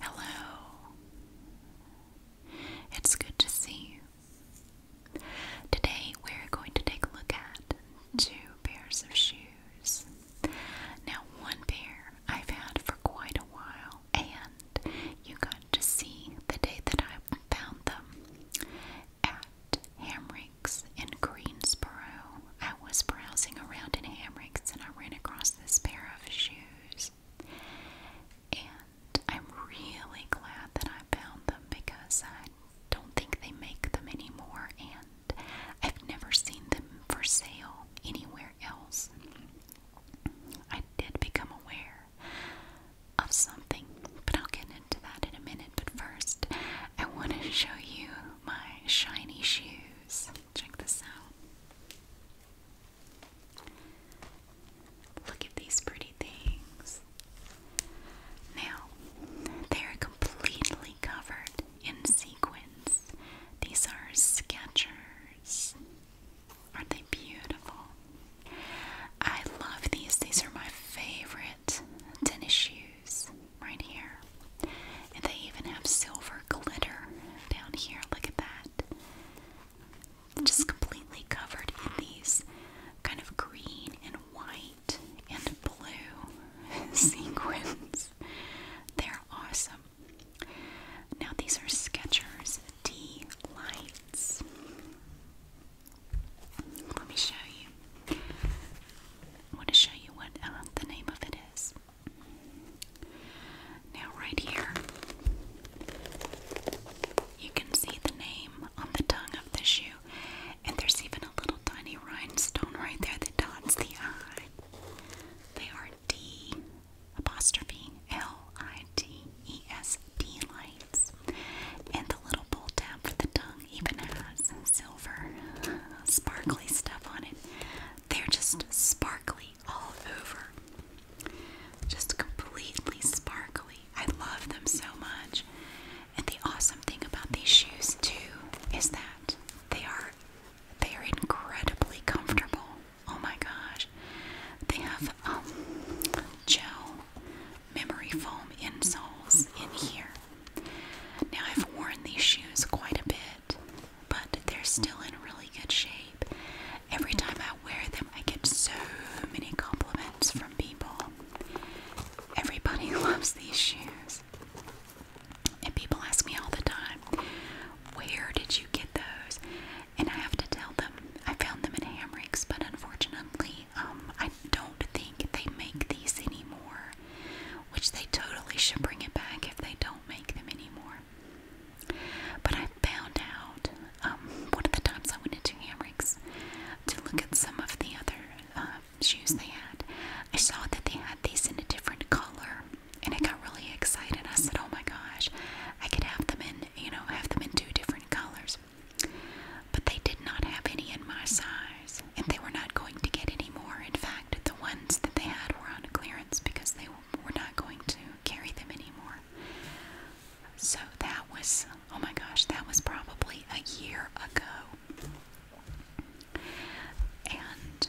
Hello. It's good to see you. Today we're going to take a look at two pairs of shoes. Now, one pair I've had for quite a while, and you got to see the day that I found them at Hamry hammocks in Greensboro. I was browsing around in hammocks and I ran across this pair of shoes. And I'm really glad that I found them because I don't think they make them anymore and I've never seen them for sale anywhere else. I did become aware of something, but I'll get into that in a minute. But first, I want to show you my shiny shoes. Check this out. Look at these pretty things. Now, they're completely covered in sequins. These are Skechers. Aren't they beautiful? I love these. These are my favorite tennis shoes right here. And they even have silver glitter down here. Look at that. Just completely covered in these kind of green and white and blue sequins. They're awesome. Now, these are Skechers D Let me show you. I want to show you what uh, the name of it is. Now, right here, you can see the name on the tongue of the shoe, and there's even a little tiny rhinestone right there that dots the eye. They are D apostrophe L I T E S D lights, and the little pull tab for the tongue even has silver uh, sparkly stuff on it. They're just sparkly all over. Just completely sparkly. I love them so much. And the awesome thing about these shoes too is that they are they are incredibly comfortable. Oh my gosh. They have um gel memory foam insoles in here. Now, I've worn these shoes quite a bit, but they're still in really good shape. Every time I wear them, I get so many compliments from people. Everybody loves these shoes. And people ask me all the time, Where did you get those? And I have to tell them I found them in Hamrick's, but unfortunately, um, I don't think they make these anymore, which they totally should bring it back if they don't make them anymore. But I found out um, one of the times I went into Hamrick's to look at some of the other uh, shoes they had. I saw that they had these in a different color, and I got really excited. I said, "Oh my gosh, I could have them in, you know, have them in two different colors." But they did not have any in my size, and they were not going to get any more. In fact, the ones that they had were on clearance because they were not going to carry them anymore. So that was, oh my gosh, that was probably a year ago. And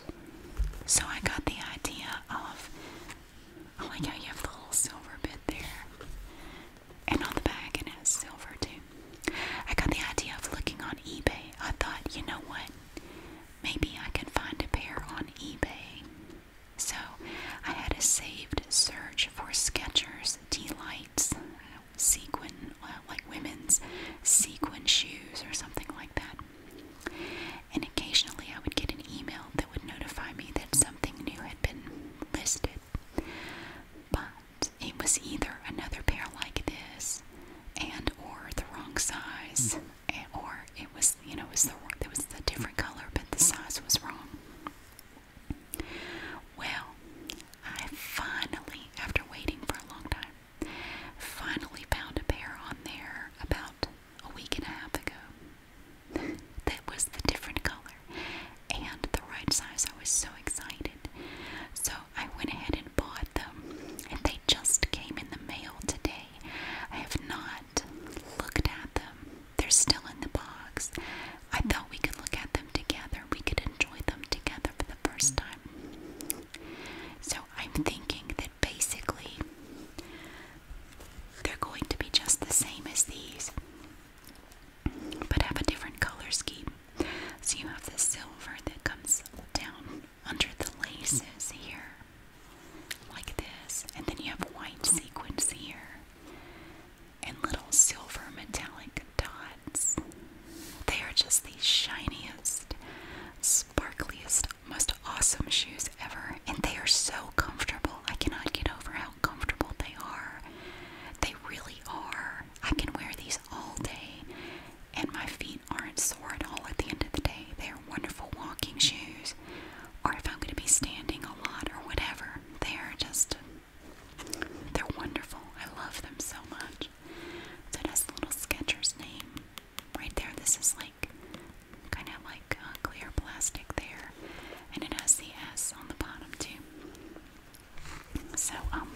so I got the idea of, oh like how you have the little silver bit there. And on the back it has silver too. I got the idea of looking on eBay. I thought, you know what? Maybe I can find a pair on eBay. So I had a saved search for Skechers D-Lights sequin, well, uh, like women's sequin shoes or something like that. And occasionally I would get an email that would notify me that something new had been listed. But it was either another pair like this and or the wrong size hmm. and, or it was you know it was the it was the different color but the size was wrong well i finally after waiting for a long time finally found a pair on there about a week and a half ago that was the different color and the right size. I was so excited. So I went ahead and bought them, and they just came in the mail today. I have not looked at them, they're still in the box. I thought we could look at them together, we could enjoy them together for the first time. So I'm thinking that basically they're going to be just the same as these but have a different color scheme. So you have the silver that comes down under the laces here, like this, and then you have white sequins here, and little silver metallic dots. They are just the shiniest, sparkliest, most awesome shoes ever, and they are so comfortable. I cannot get over how comfortable they are. They really are. I can wear these all day, and my feet aren't sore at all at the end of the day. They are wonderful walking shoes, or if I'm going to be standing a lot or whatever, they are just, they're wonderful. I love them so much. So that's the little Skechers name right there. This is like kind of like uh, clear plastic there and it has the S on the bottom too. So, um,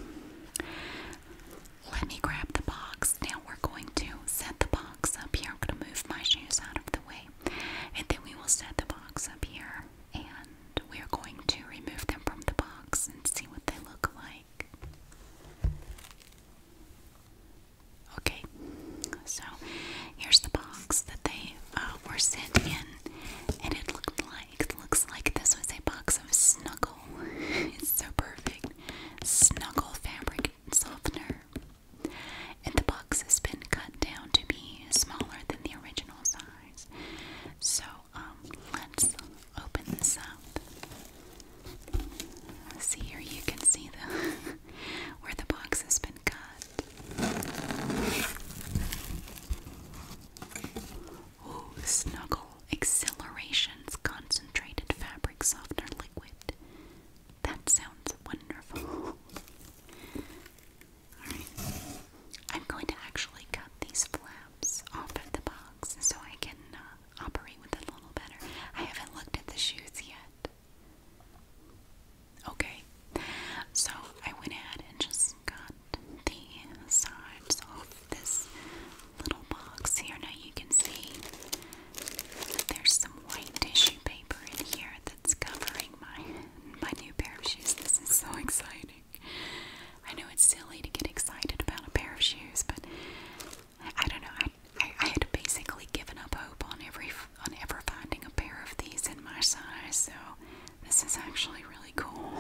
let me grab the box. Now we're going to set the box up here. I'm going to move my shoes out of the way, and then we will set the box up here, and we are going to remove them from the box and see what they look like. Okay, so here's the box that they uh, were sent in, and it looked like looks like this was a box of Snuggle. it's so perfect, Snuggle fabric softener, and the box has been cut down to be smaller than the original size. So um, let's open this up. See here, you can see the where the box has been been Snuggle Accelerations Concentrated Fabric Softener Liquid. That sounds wonderful. Alright. I'm going to actually cut these flaps off of the box so I can uh, operate with a little better. I haven't looked at the shoes yet. Okay, so I went ahead and just got the sides off this little box here. Now you can see there's some white tissue paper in here that's covering my my new pair of shoes. This is so exciting. I know it's silly to get excited about a pair of shoes, but I, I don't know. I I, had basically given up hope on every on ever finding a pair of these in my size, so this is actually really cool.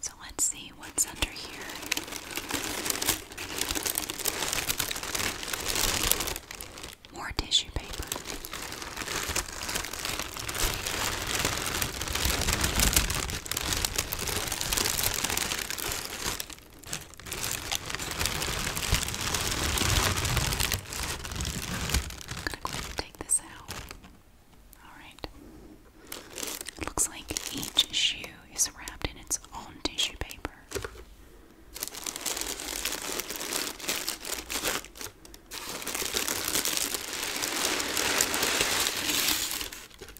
So let's see what's under here. More tissue paper. I'm gonna go ahead and take this out. Alright. It looks like each shoe is wrapped in its own tissue paper.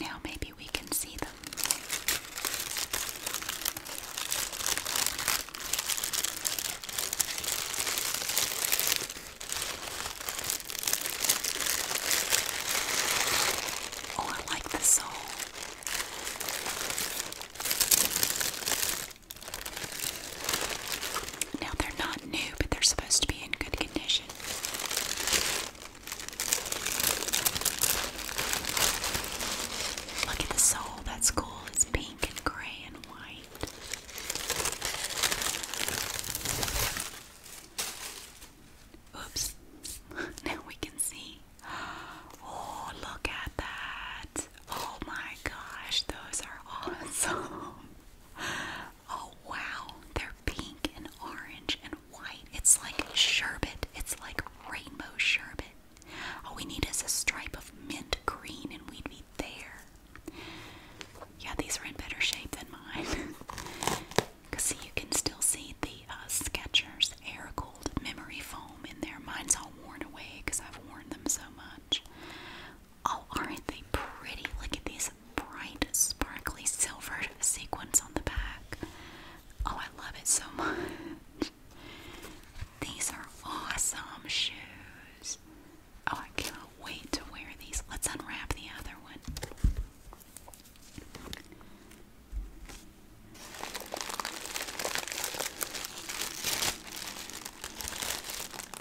Now maybe we can see them. Or oh, like the soul. Now they're not new, but they're supposed to be in good condition. Look at the sole, that's cool. It's pink and gray and white. Oops, now we can see. Oh, look at that. Oh my gosh, those are awesome. Oh wow, they're pink and orange and white. It's like sherbet. It's like rainbow sherbet. All we need is a stripe of mint green and we'd be there. Yeah, these are in better shape than mine. Because see, you can still see the uh, Skechers air cooled memory foam in there. Mine's all worn away because I've worn them so much. Oh, aren't they pretty? Look at these bright, sparkly, silver sequins on the back. Oh, I love it so much. These are awesome shoes. Oh, I cannot wait to wear these. Let's unwrap the other one.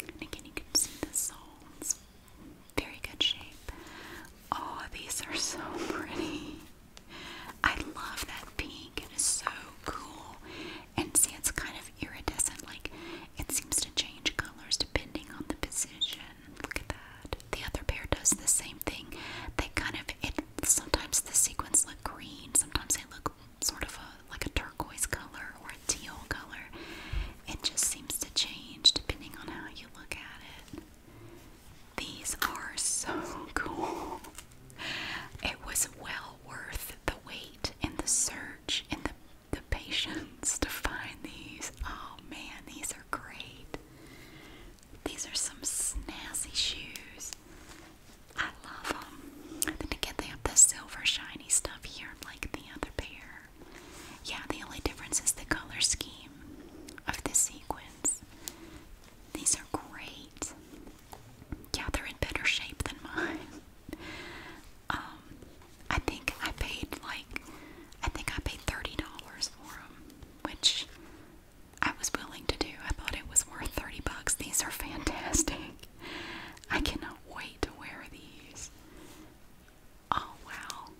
And again, you can see the sole. It's very good shape. Oh, these are so pretty. I love that pink. It is so cool. And see, it's kind of iridescent. Like, it seems to change colors depending on the position. Look at that. The other pair does the same thing. They kind of, it sometimes the sequins look green, sometimes they look sort of a like a turquoise color or a teal color. It just seems to change depending on how you look at it. These are so cool. It was well worth the wait and the search and the, the patience to find these. Oh man, these are great. These are some snazzy shoes. I love them. And then again, they have the silver shiny stuff here, like the other pair. Yeah, the only difference is the color scheme of the sequins. These are great. Yeah, they're in better shape than mine. Um, I think I paid like I think I paid thirty dollars for them, which I was willing to do. I thought it was worth thirty bucks. These are fantastic. I cannot wait to wear these. Oh wow.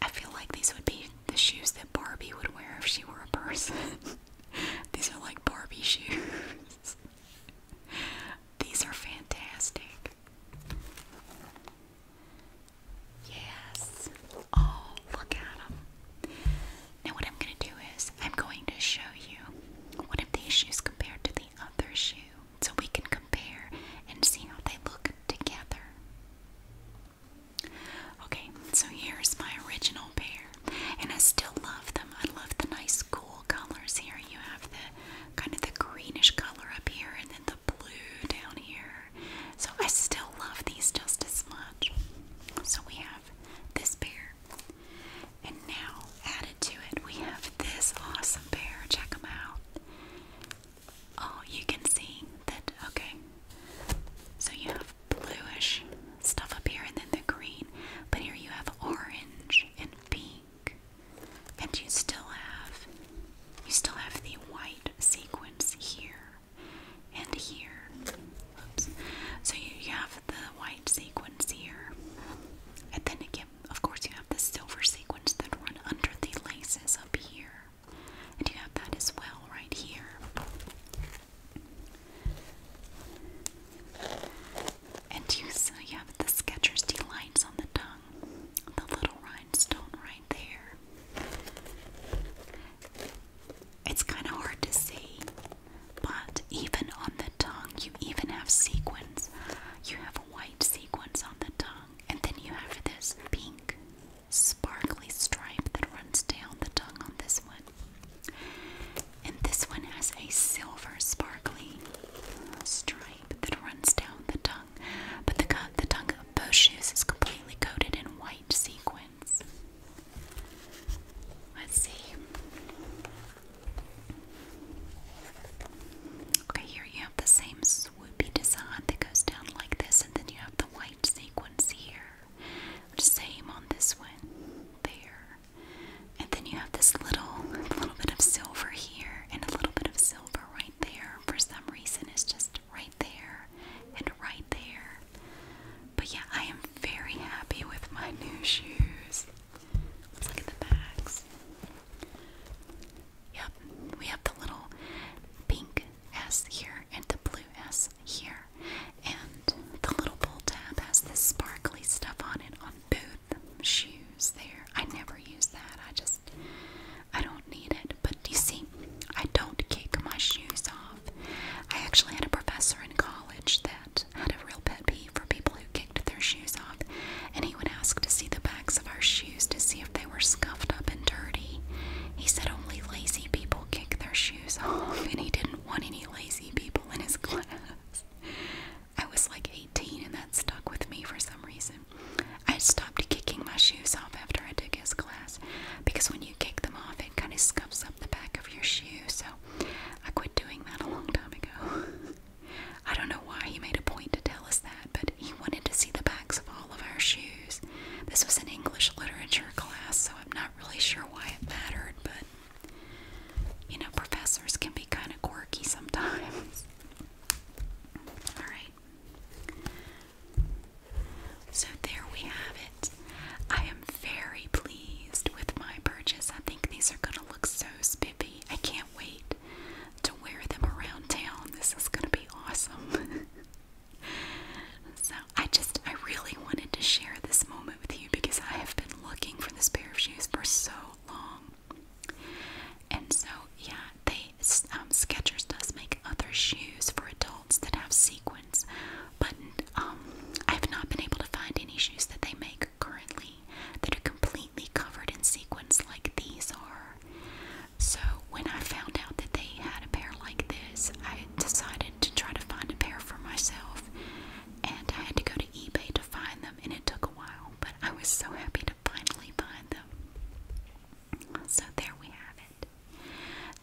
I feel like these would be the shoes that Barbie would wear if she were a person. these are like Barbie shoes. these are fantastic. Yes. Oh, look at them. Now what I'm going to do is I'm going to show you one of these shoes compared to the other shoe so we can compare and see how they look together. Okay, so here's my original pair and I still love them. I love the nice cool colors here. You have the kind of the greenish color up here and then the blue down here. So I still love these just as much. So we have this pair and now, added to it, we have this awesome pair. Check them out. Oh, you can see that, okay. So you have bluish stuff up here and then the green, but here you have orange and pink. And you still have you still have the white sequence here and here. So you, have the white sequins here, and then again, of course, you have the silver sequins that run under the laces up here, and you have that as well right here. And you, so you have the Skechers Delights on the tongue, the little rhinestone right there. It's kind of hard to see, but even on the tongue, you even have sequins. You have a white sequins on the tongue, and then you have this pink sparkly stripe that runs down the tongue on this one. And this one has a silver sparkly stripe that runs down the tongue. But the, the tongue of both shoes is completely coated in white sequin. Let's see. Okay, here you have the same swoopy design that goes down like this, and then you have the white sequins here. Same on this one, there. And then you have this little, little bit of silver here, and a little bit of silver right there. For some reason, it's just right there and right there. But yeah, I am very happy with my new shoes. look at the bags. Yep, we have the little pink S here and the blue S here. And the little pull tab has this sparkly stuff on it on both shoes there. I never use that. I just I don't need it but you see, I don't kick my shoes off. I actually had a professor in college that had a real pet peeve for people who kicked their shoes off, and he would ask to see the backs of our shoes to see if they were scuffed up and dirty. He said only lazy people kick their shoes off, and he didn't want any lazy people in his class. I was like 18, and that stuck with me for some reason. I stopped kicking my shoes off after I took his class because when you kick them off, it kind of scuffs up the back of your shoe. So I quit doing that a long time ago. I don't know why he made a point to tell us that, but he wanted to see the backs of all of our shoes. This was an English literature class, so I'm not really sure why it mattered, but you know, professors can be kind of quirky sometimes. Alright. So there we have it. I am very pleased with my purchase. I think these are going to look so spiffy. I can't wait to wear them around town. This is going to be awesome. so I just, I really wanted to share this moment with you because I have been looking for this pair of shoes for so long. And so, yeah, they um, Sketchers does make other shoes for adults that have sequins, but um, I have not been able to find any shoes that they make currently that are completely covered in sequins like these are. So when I found out that they had a pair like this, I decided to try to find a pair for myself, and I had to go to eBay to find them, and it took a while, but I was so happy to finally find them. So there we have it.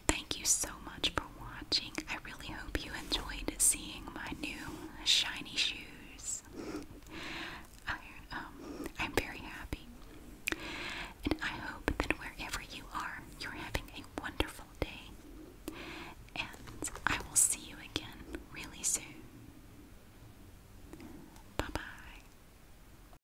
Thank you so much for watching. I really hope you enjoyed seeing my new shiny shoes. I, am um, very happy. And I hope that wherever you are, you're having a wonderful day. And I will see you again really soon. Bye bye.